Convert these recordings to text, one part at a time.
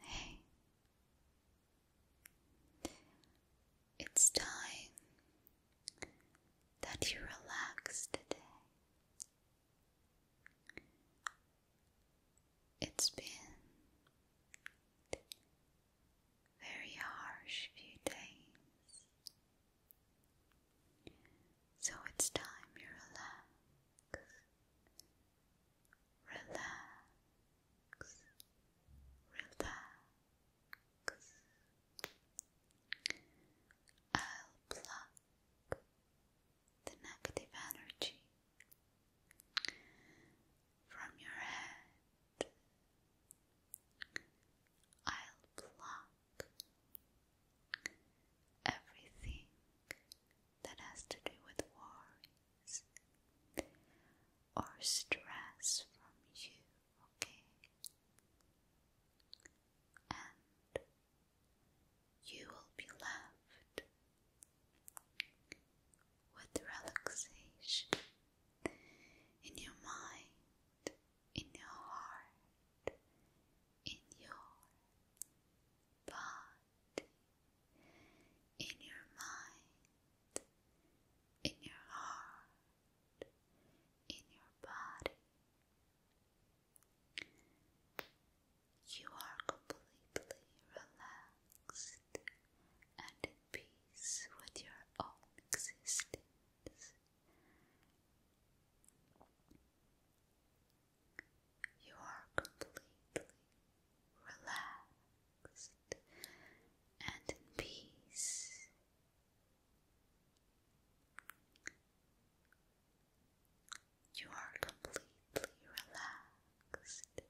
Hey, it's time that you relax today. It's been very harsh few days. So it's time you relax. Relax. Relax. I'll pluck the negative energy from your head. I'll pluck everything that has to do with worries or stress from you, okay? And you will be left with relaxation in your mind in your heart, in your body, in your mind, in your heart, in your body. You are completely relaxed and at peace with your own existence. You are completely relaxed and in peace. You are completely relaxed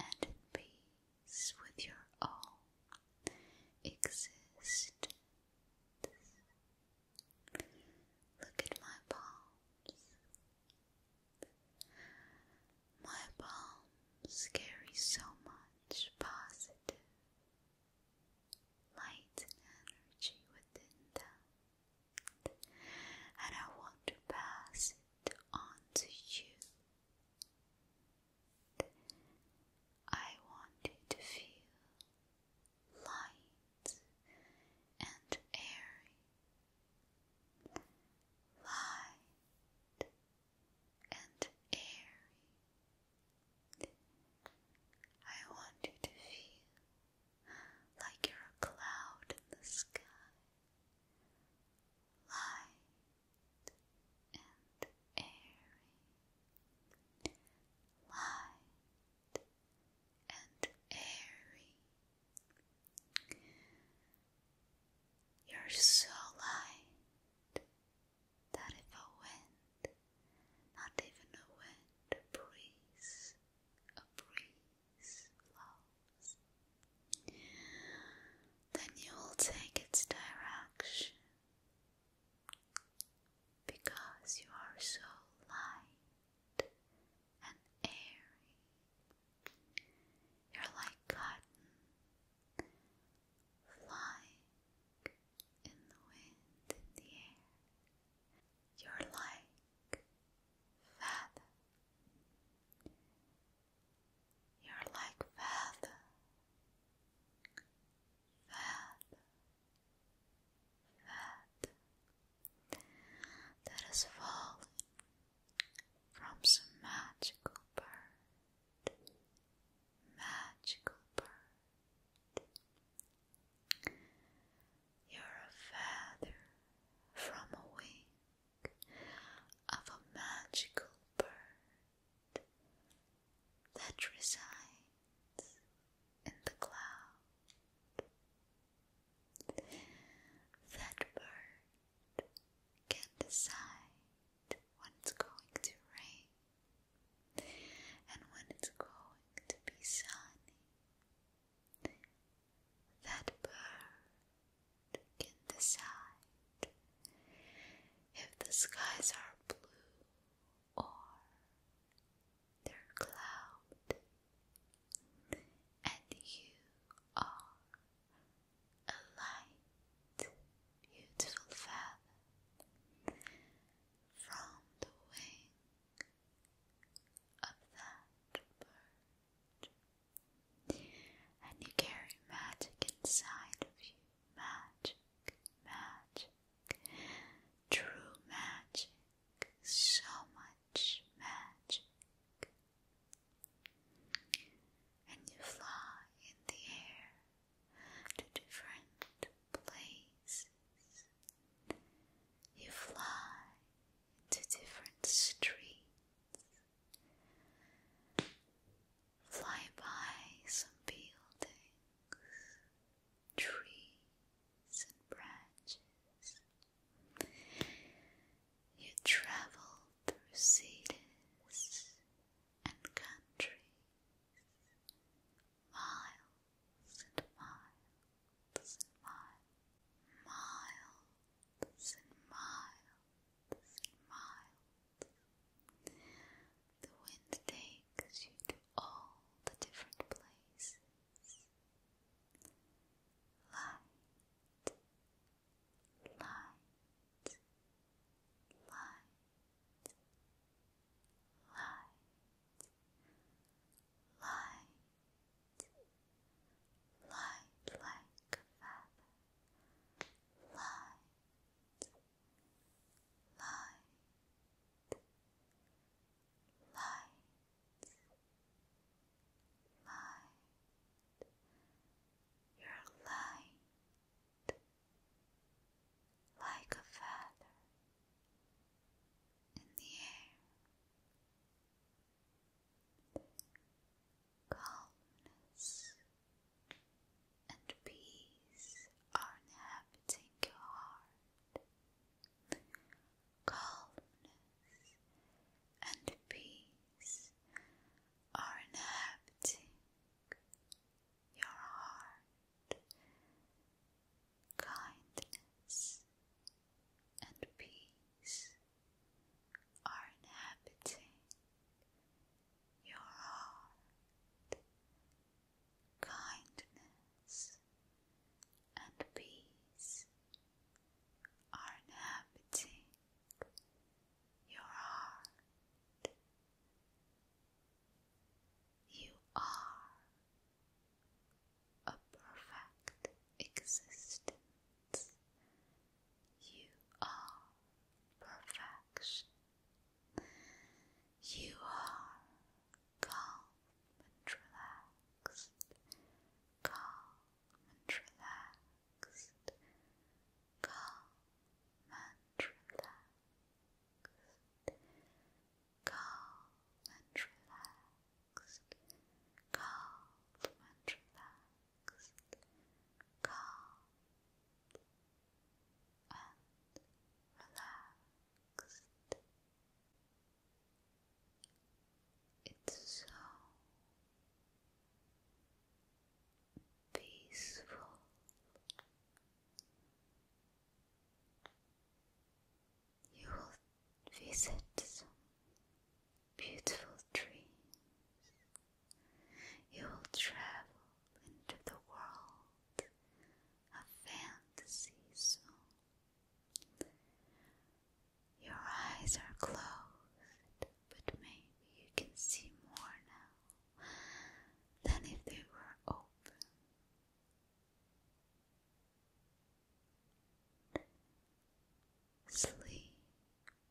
and in peace with your own existence. Look at my palms. My palms carry so much positive light and energy within them, and I want to pass it on to you. I want you to feel light and airy. Light and airy. I want you to feel like you're a cloud in the sky. Light and airy, light and airy. You're so light that if a wind, not even a wind, a breeze, a breeze blows, then you will take its direction because you are so light and airy. You're like cotton flying in the wind in the air. You're like feather. You're like feather that, that, that has fallen from some magical bird, magical bird. You're a feather from a wing of a magical bird, that resides in the cloud. That bird can decide when it's going to rain and when it's going to be sunny. That bird can decide if the skies are blue or they're clouded, and you are a light, beautiful feather from the wing of that bird. And you carry magic inside of you magic, magic, true magic, so much magic. And you fly in the air to different places. You fly to different streets fly by some buildings, trees, and branches. You travel through cities and countries, miles and miles and miles, miles and miles and miles. The wind takes you to all the different places. Light, light, light, light, light, light like a light, light, light, light. You're light like a feather in the air calmness and peace are inhabiting your heart. Calmness and peace are inhabiting your heart. Kindness and peace are inhabiting your heart. Kindness and peace are inhabiting your heart. You are a perfect existence you are perfection. You are calm and relaxed. Calm and relaxed. Calm and relaxed. Calm and relaxed. Calm and relaxed relaxed, calm and relaxed. It's so peaceful. You will visit some beautiful dreams. You will travel into the world of fantasy soon. Your eyes are closed, but maybe you can see more now than if they were open. Sleep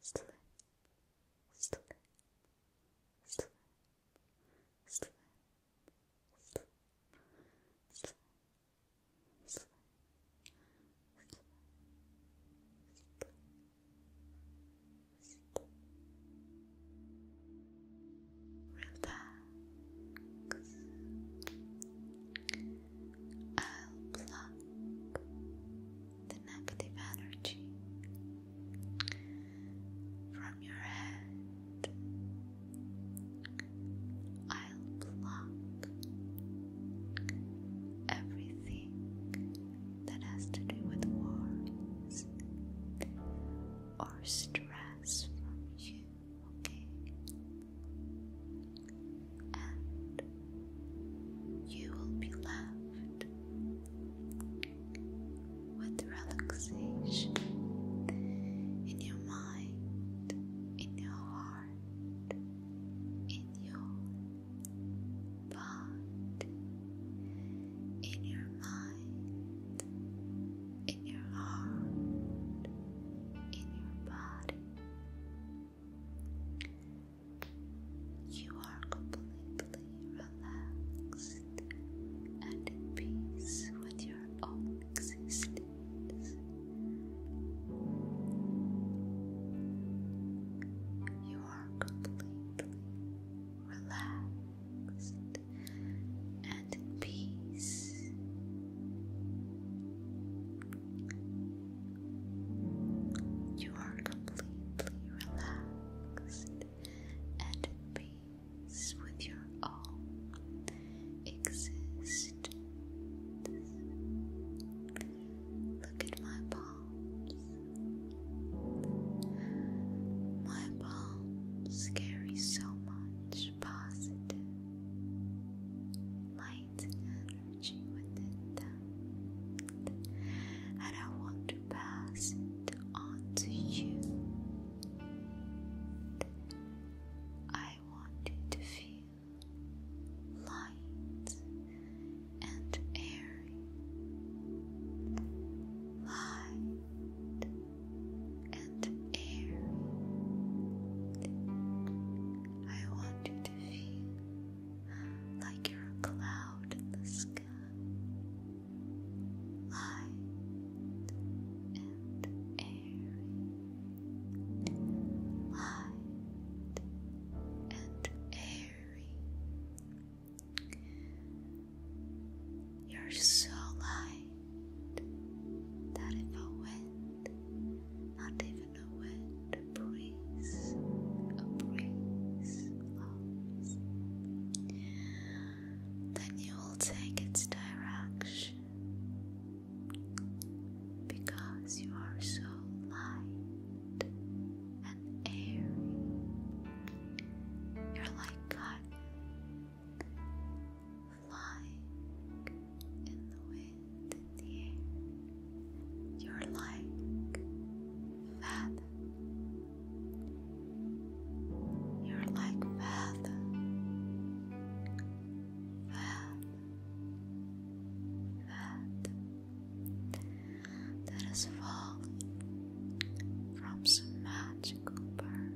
slip, slip, Relax. i the negative energy from your head. I'll block everything that has to do with worries or stress from you, okay? And you will be left with relaxation in your mind, in your heart, in your body, in your mind, in your heart, in your body. You are completely relaxed and in peace with your own existence. You are completely relaxed and at peace. You are completely relaxed and at peace with your own existence. Look at my palms. My palms carry so much positive light energy within and I want to pass it on to you. I want you to feel light and airy, light and airy. I want you to feel like you're a cloud in the sky. Light and airy. Light and airy. You're so light that if a wind, not even the a wet breeze, a breeze Then you will take its direction because you are so light and airy. You're like cotton flying in the wind. You're like feather. You're like feather. Feather. Feather. That is falling from some magical bird.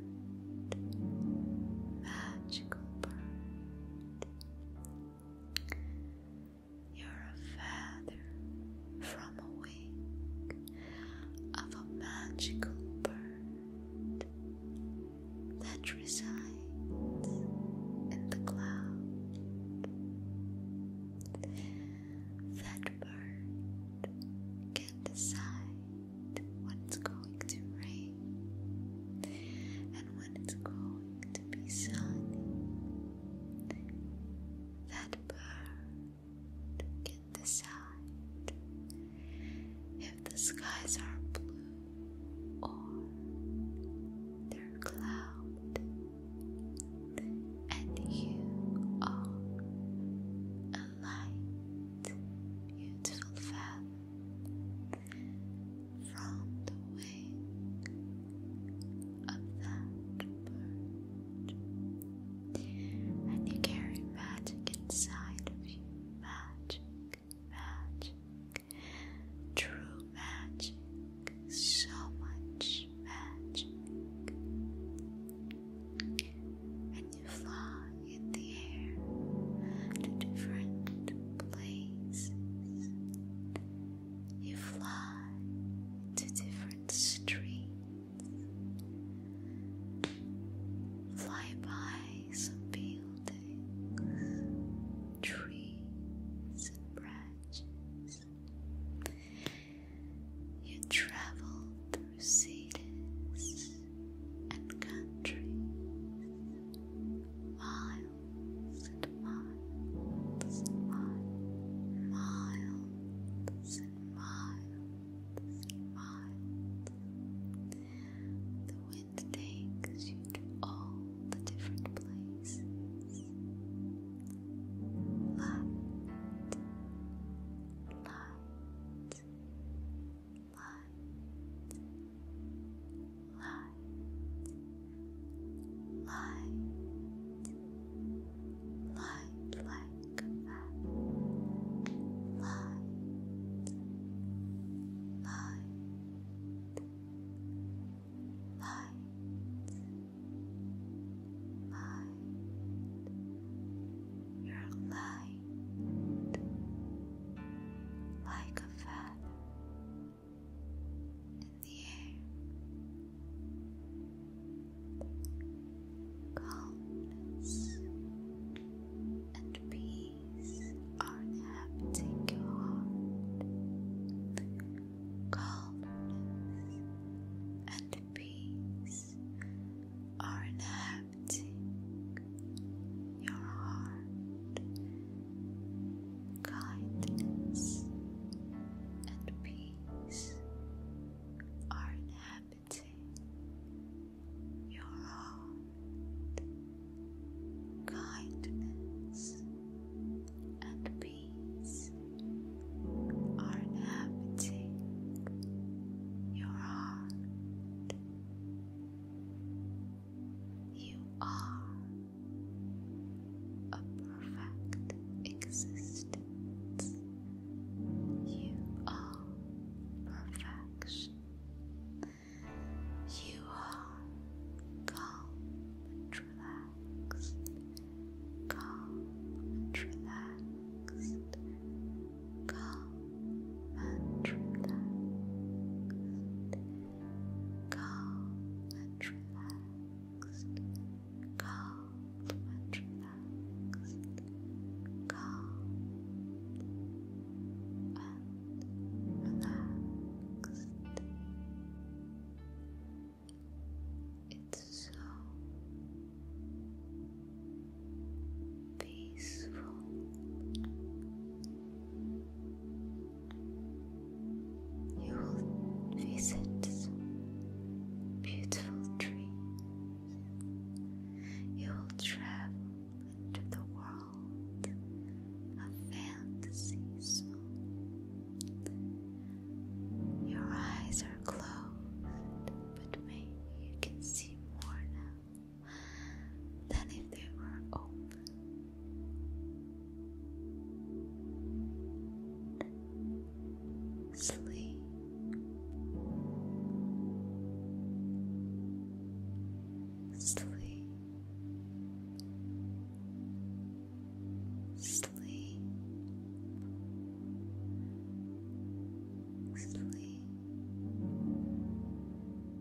Magical bird. You're a feather from a wing of a magical bird that resides in the cloud. That bird can decide when it's going to rain and it's going to be sunny. That bird can decide if the skies are blue or they're cloud, and you are a light, beautiful feather from the wing of that bird, and you carry magic inside of you magic, magic, true magic, so much magic. And you fly in the air to different places, you fly to different streets, fly by some buildings, trees, and branches. You travel through cities and countries, miles miles and miles and miles, and miles and miles. The wind takes you to all the different places. Light, light, light, light, light, light like that, light, light, light, light, your light. Like a feather, up in Calmness and peace are inhabiting your heart. Calmness and peace are inhabiting your heart, kindness, and peace are inhabiting your heart. Kindness and peace are inhabiting your heart. You are a perfect existence. You are perfection. You are calm and relaxed. Calm and relaxed. Calm and relaxed, calm and relaxed, calm and relaxed, calm and relaxed. It's so you will visit beautiful trees. You will travel into the world of fantasies. Your eyes are closed, but maybe you can see more now than if they were open. Sleep. Sleep. Sleep. Sleep